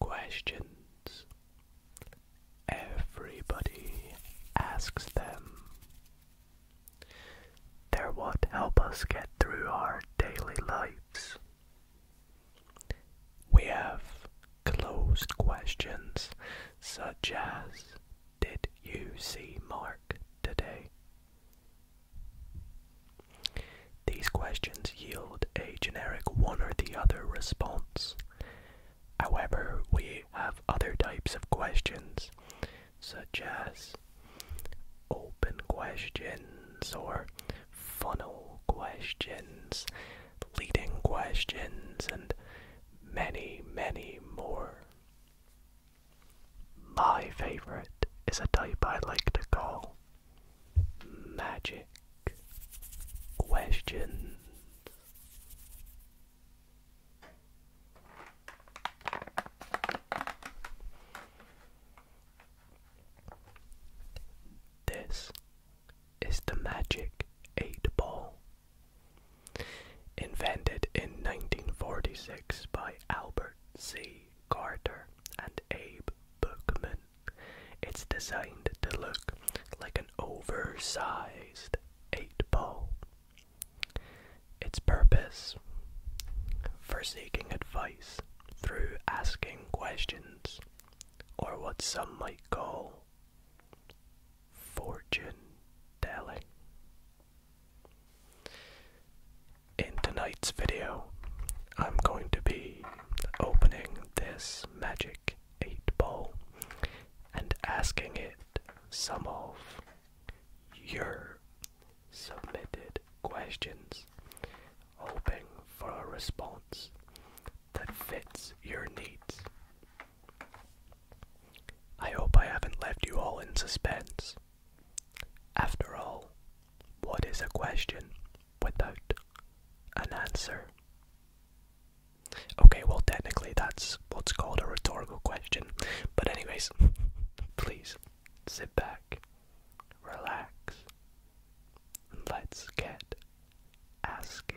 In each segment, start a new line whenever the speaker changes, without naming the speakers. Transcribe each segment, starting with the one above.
Questions. Everybody asks them. They're what help us get through our daily lives. We have closed questions such as Did you see Mark today? These questions yield a generic one or the other response. However, we have other types of questions, such as open questions or funnel questions, leading questions, and many, many more. My favorite is a type I like to call magic questions. This is the magic eight ball. Invented in 1946 by Albert C. Carter and Abe Bookman. It's designed to look like an oversized 8 ball. Its purpose for seeking advice through asking questions, or what some might call fortune telling. In tonight's video, I'm going to be opening this magic 8 ball and asking it some of your submitted questions, hoping for a response that fits your needs. I hope I haven't left you all in suspense. After all, what is a question without an answer? Okay, well, technically that's what's called a rhetorical question. But, anyways, please sit back, relax, and let's get asking.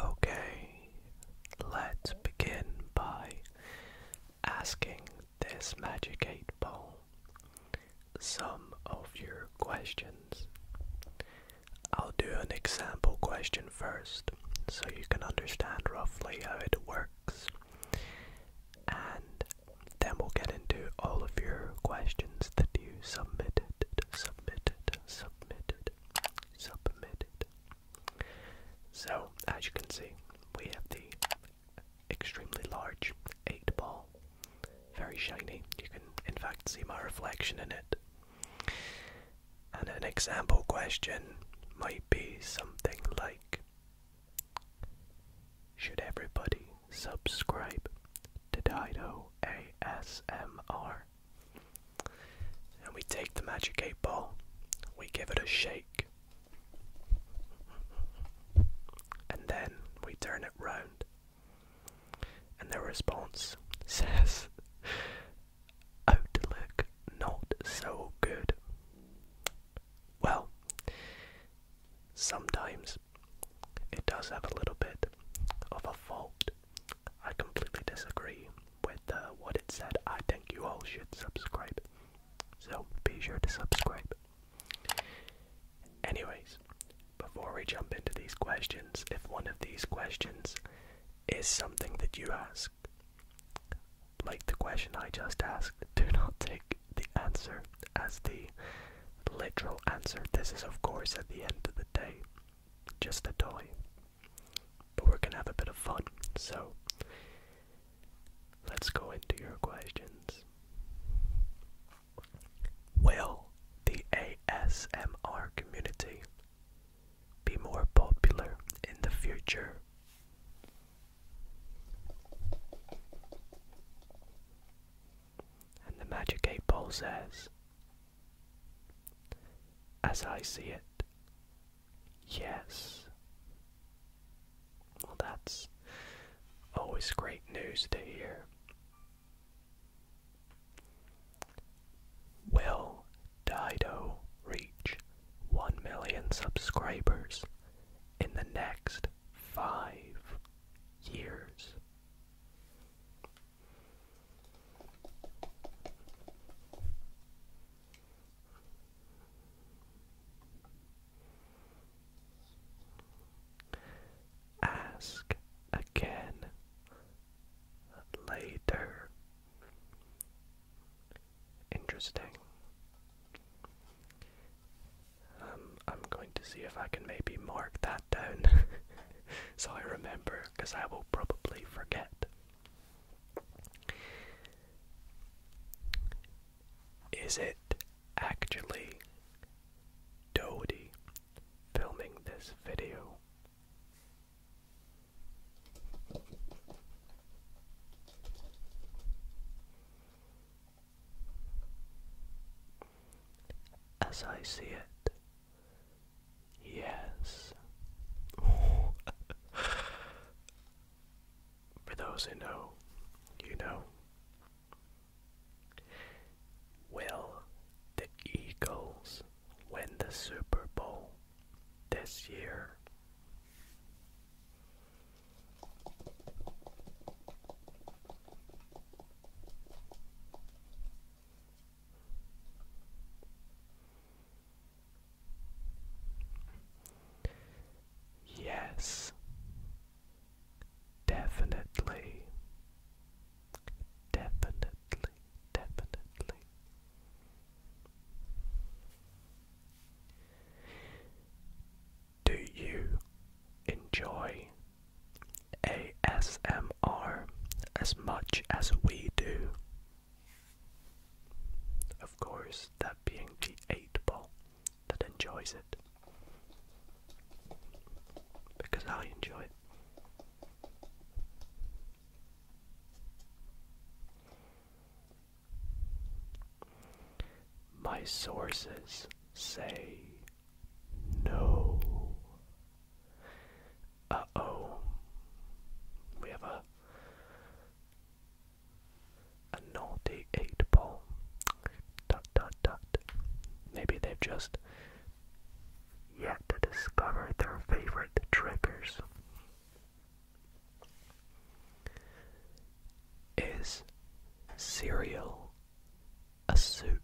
Okay, let's begin by asking this Magic 8 Ball some of your questions. I'll do an example question first so you can understand roughly how it works, and then we'll get into all of your questions that you submitted, submitted, submitted, submitted. So, as you can see, we have the extremely large eight ball. Very shiny. You can, in fact, see my reflection in it. And an example question might be something like Should everybody subscribe to Dido ASMR? And we take the Magic 8 Ball, we give it a shake, and then we turn it round. And the response says, Outlook not so good. Well, sometimes it does have a little bit of a fault. I completely disagree with uh, what it said. I think you all should subscribe. So be sure to subscribe. Anyways, before we jump into these questions, if one of these questions is something that you ask, like the question I just asked, do not take the answer as the literal answer. This is, of course, at the end of the day, just a toy. But we're gonna have a bit of fun, so Let's go into your questions. Will the ASMR community be more popular in the future? And the Magic 8 Ball says, As I see it, yes. Well, that's always great news to hear. Will Dido reach 1 million subscribers in the next five years? Ask again later. Interesting. Um, I'm going to see if I can maybe mark that down so I remember, because I will probably forget. Is it actually Dodie filming this video? As I see it, yes. For those who know, you know. Will the Eagles win the Super Bowl this year? Yes, Definitely. Definitely. Definitely. Do you enjoy ASMR as much as we do? Of course, that being the that enjoys it. Because I enjoy it. My sources say no. Uh oh. We have a a naughty eight ball. Dot dot dot. Maybe they've just yet to discover their favorite triggers. Is cereal a soup?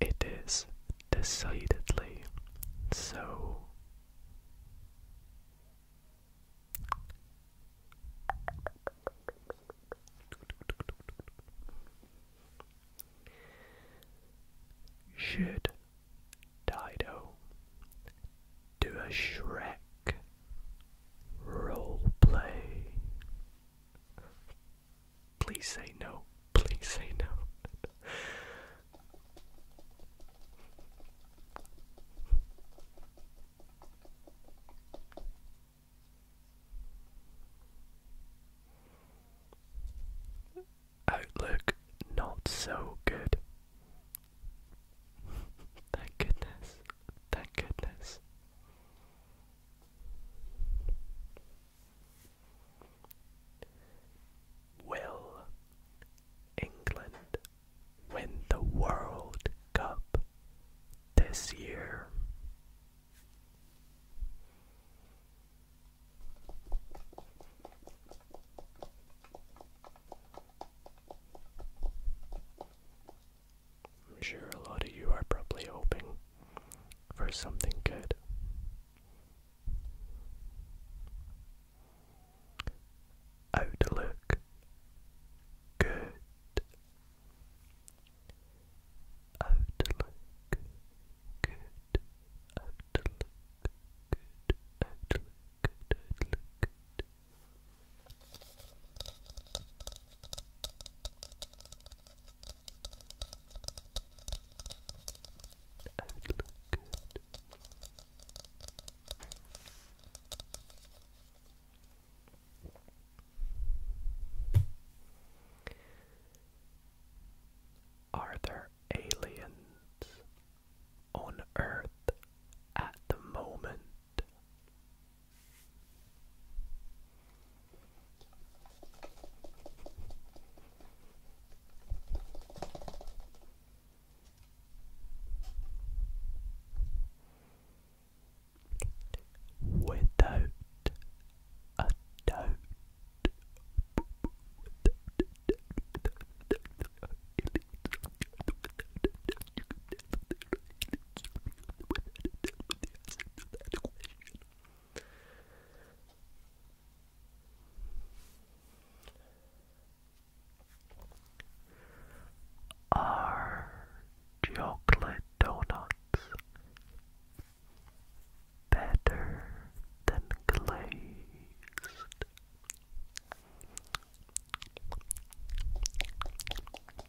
It is decidedly so. Should Dido do a Shrek Role play. Please say no. Please say no. Outlook not so good. Thank goodness. Thank goodness. Will England win the World Cup this year? I'm sure a lot of you are probably hoping for something good. Outlook good. Outlook good. Outlook good. Outlook good. Outlook good would look good. Are there aliens on Earth at the moment? Without a doubt, are chocolate donuts better than glazed?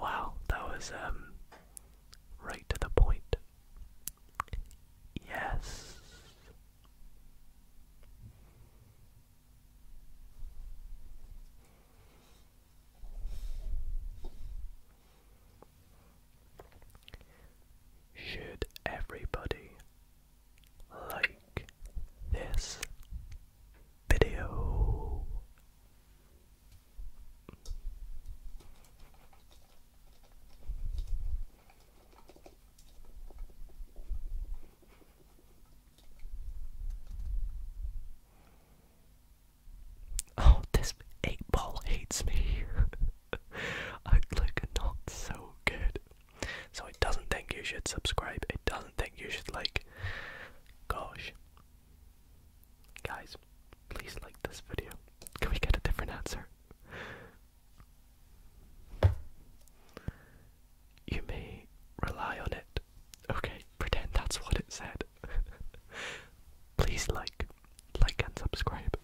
wow, that was um right to the point. Yes. Should everybody like this video? Oh, this eight ball hates me. I like not so good. So it doesn't think you should subscribe. It doesn't think you should like. Gosh, guys, please like this video. Can we get a different answer? You may rely on it. Okay, pretend that's what it said. Please like, like and subscribe.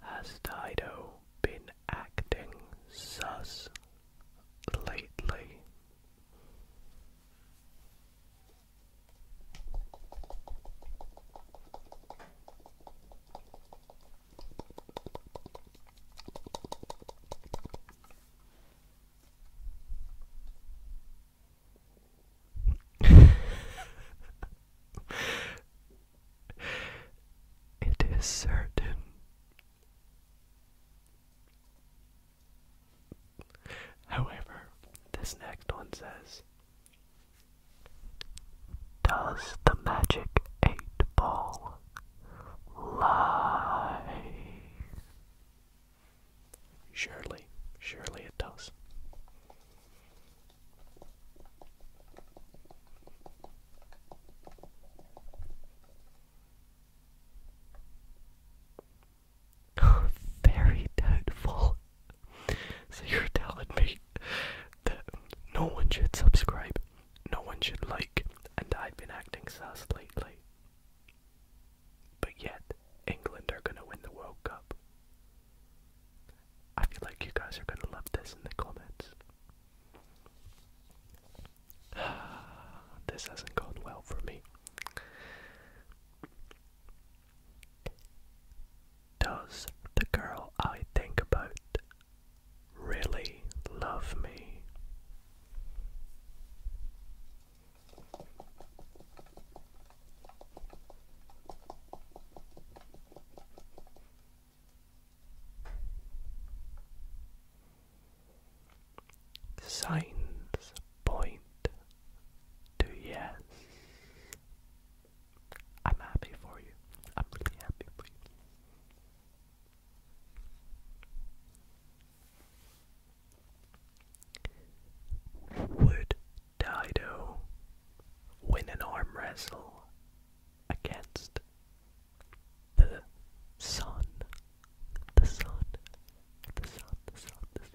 Has Dido been acting sus lately? it is certain However, this next one says Does the magic eight ball lie? Surely, surely it does. Very doubtful. So you're telling me that no one should subscribe, no one should like, and I've been acting sus lately. But yet, England are going to win the World Cup. I feel like you guys are going to love this in the comments. this hasn't gone well for me. Does the girl I think about really love me? Signs point to yes. I'm happy for you. I'm really happy for you. Would Dido win an arm wrestle against the sun? The sun, the sun, the sun, the sun.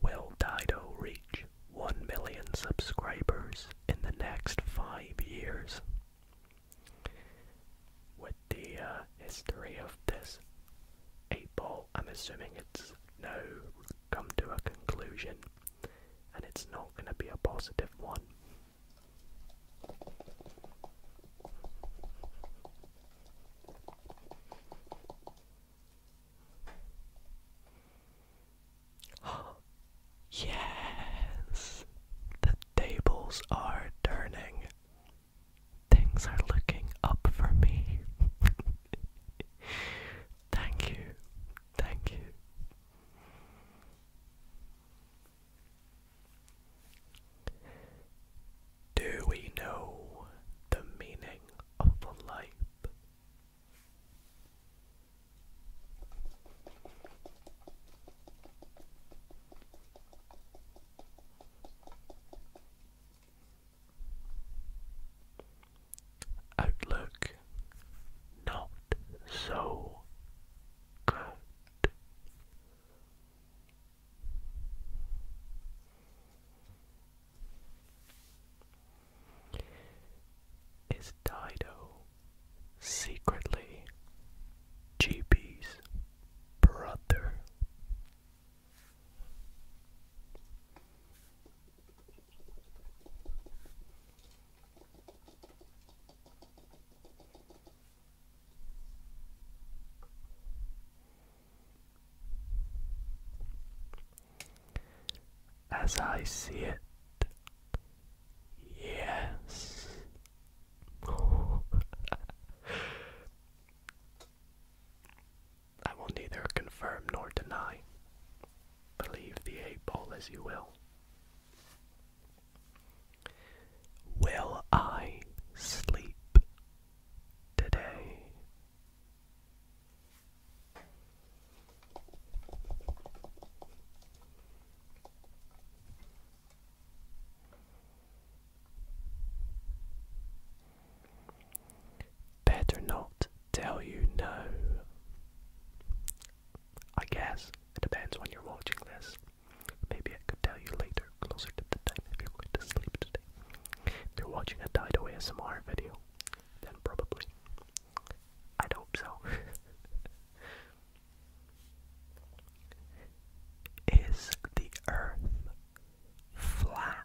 Will Dido reach 1 million subscribers in the next 5 years? With the uh, history of this 8 I'm assuming it's no come to a conclusion and it's not going to be a positive one. yes! The tables are turning. Things are looking up for me. thank you, thank you. Do we know the meaning of the light? Outlook not so good. Is Dido secretly GP's brother? As I see it, yes. I will neither confirm nor deny. Believe the eight ball as you will. Will I sleep today. Better not tell you no. I guess it depends when you're watching this. Maybe I could tell you later, closer to the time if you're going to sleep today. If you're watching a Dido ASMR video, then probably. I'd hope so. Is the earth flat?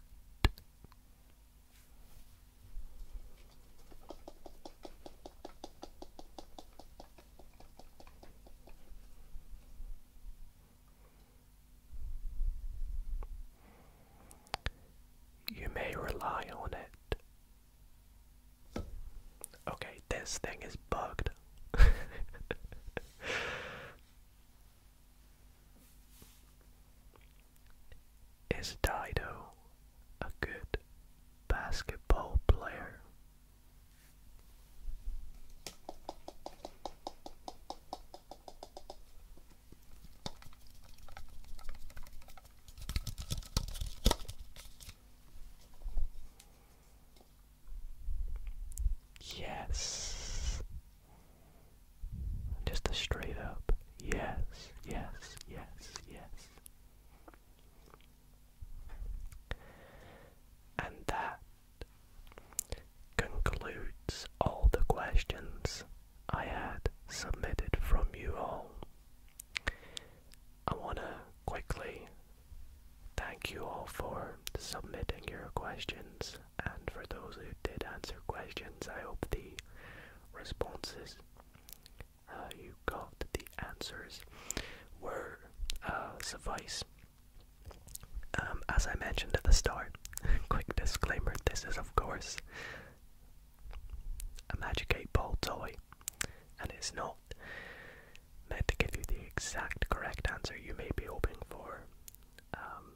You may rely on it. Okay, this thing is bugged. is Dido a good basketball player? Yes. Just a straight up yes, yes, yes, yes. And that concludes all the questions I had submitted from you all. I want to quickly thank you all for submitting your questions, and for those who did answer questions, I hope the responses uh, you got, the answers, were uh, suffice um, as I mentioned at the start, quick disclaimer this is, of course, a Magic 8 Ball toy, and it's not meant to give you the exact correct answer you may be hoping for, um,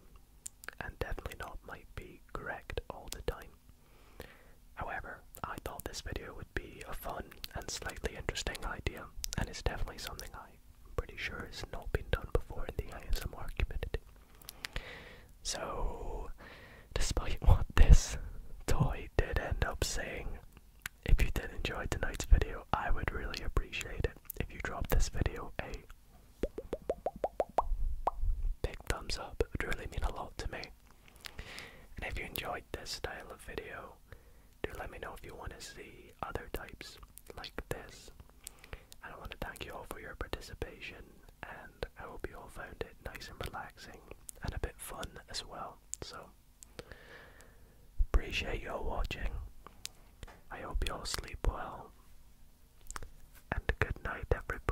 and definitely not might be correct all the time. However, I thought this video would be a fun and slightly interesting idea, and it's definitely something I I'm pretty sure it's not been done before in the ASMR community. So, despite what this toy did end up saying, if you did enjoy tonight's video, I would really appreciate it if you dropped this video a big thumbs up. It would really mean a lot to me. And if you enjoyed this style of video, do let me know if you want to see other types like this. And I want to thank you all for your participation, and I hope you all found it nice and relaxing and a bit fun as well. So, appreciate your watching. I hope you all sleep well, and good night, everybody.